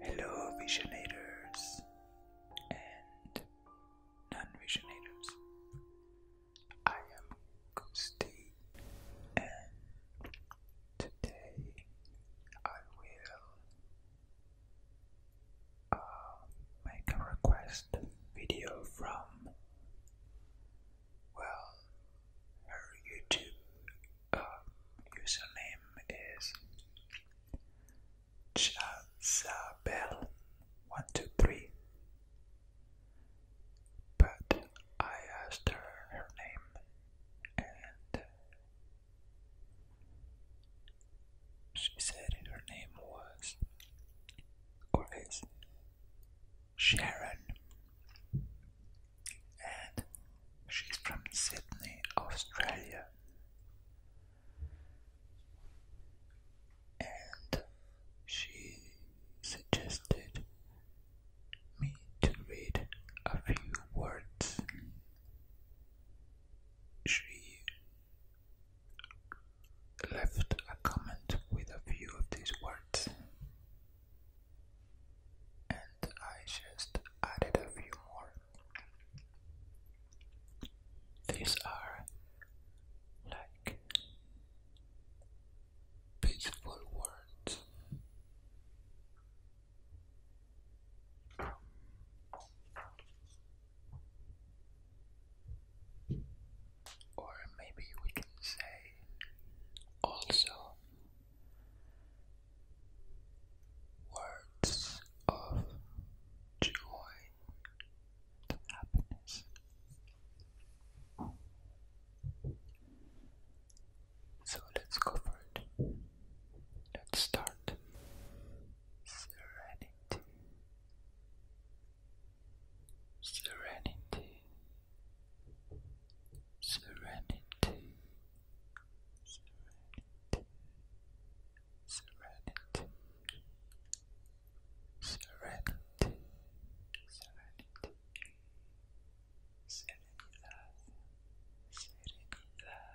Hello, visionators and non visionators. I am Gusti, and today I will uh, make a request video from well her YouTube uh, username is Chazabel one two three but I asked her her name and she said her name was, or Sharon, and she's from Sydney, Australia. And she suggested me to read a few words. She left a comment with a few of these words, and I just added a few more. These are like peaceful words. Or maybe we can say also words of joy and happiness. So let's go for it. Let's start serenity, serenity, serenity, serenity, serenity, serenity, serenity. Serenidad, serenidad,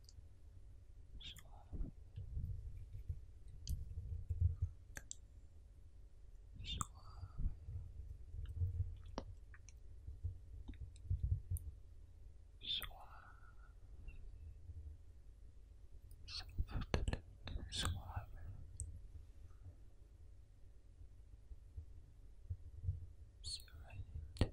So. suave. Suave, suave, serenity,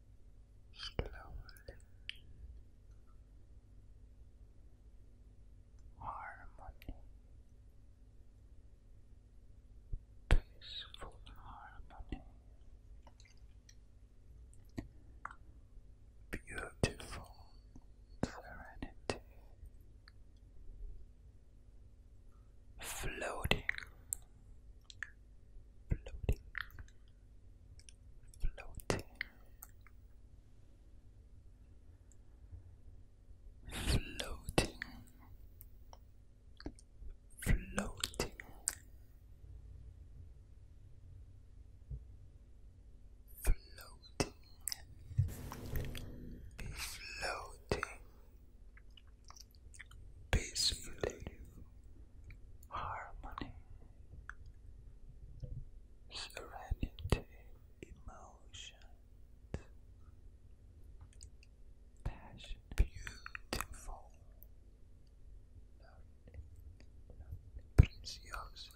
slowly, harmony, peaceful harmony, beautiful serenity, floating floating, floating, floating, floating. Floating, floating, peacefully harmony serenity emotions passion beautiful lovely precioso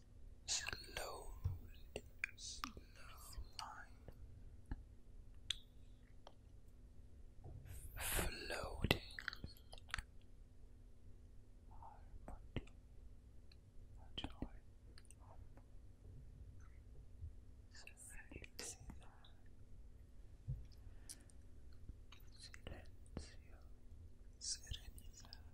slowly, slowly, floating harmony, joy, silence, silencio, serenidad.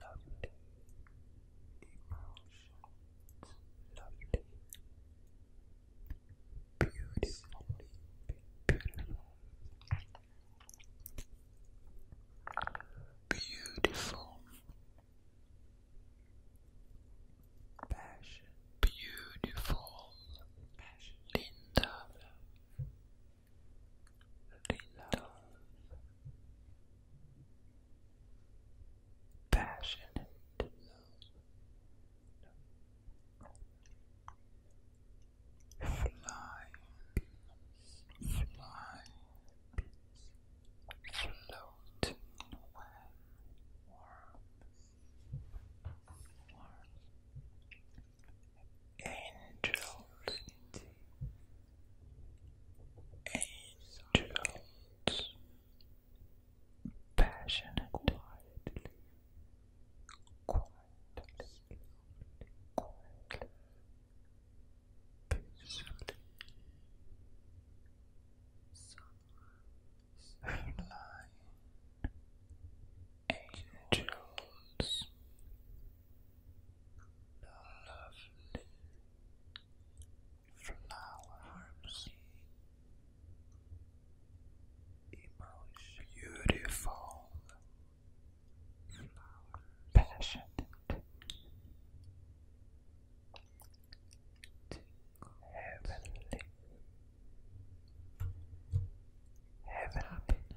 lovely emotions, lovely, beautiful, beautiful, beautiful beautiful Linda love, passionate love. Fly, fly, float, warm, Angels, angels, passionate, quietly, peacefully, flying, angels beautiful flowers, passionate, heavenly, heavenly.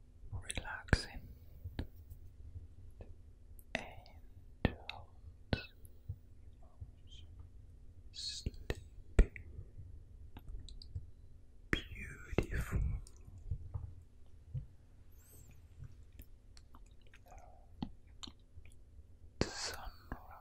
relaxing angels sleeping beautiful the sunrise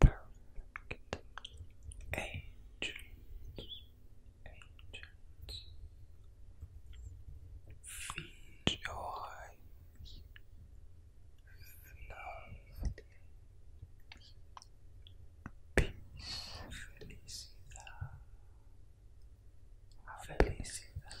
Perfect. Agents. joy. Love. Peace. Felicidad. Felicidad.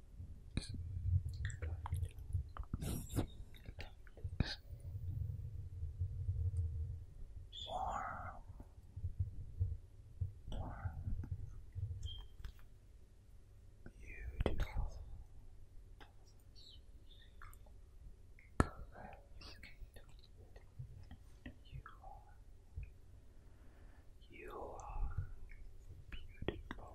warm, beautiful, you are, you are beautiful.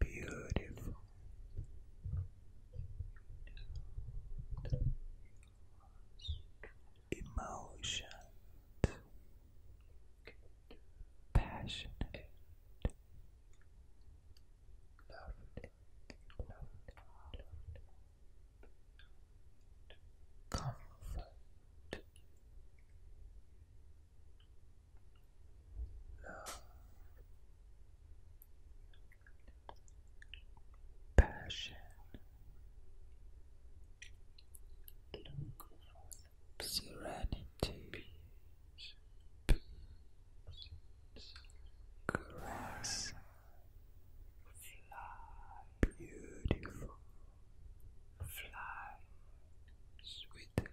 Beautiful. Emotion, passionate, loved, loved, love, passion. serenity, peace, beautiful, fly, sweet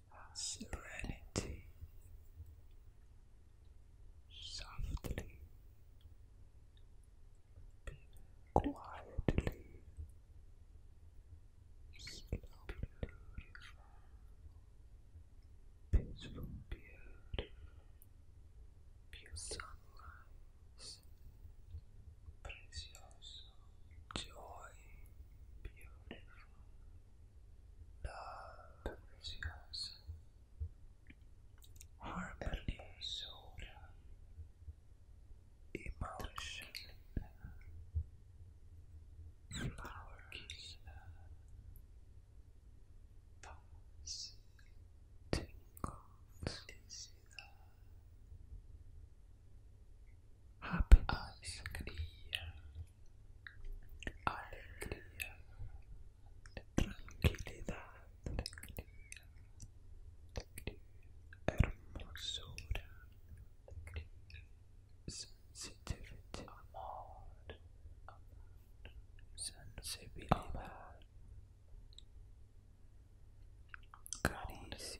serenity softly, quietly, slowly, peaceful, beautiful, pure sunrise. Precious joy, beautiful, love, preciosa, harmony, soda, emotion, flowers, thoughts, tingles, is happiness. Alegría. Alegría. Tranquilidad. Alegría. Alegría. Hermosura. Alegría. Sensitivity. Amor. Amor. Sensibilidad. Caricias.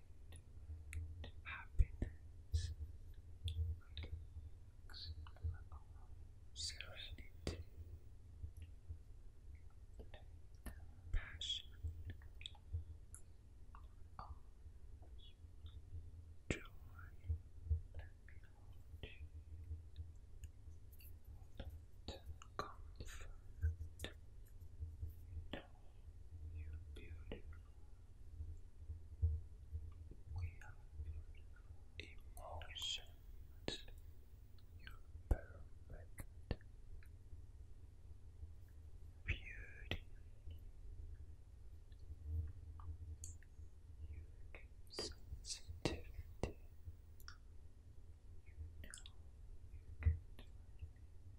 happiness, relax, serenity, passion, joy, comfort, you're beautiful. We have beautiful emotions. You're perfect. Beauty. You sensitivity. You know you can do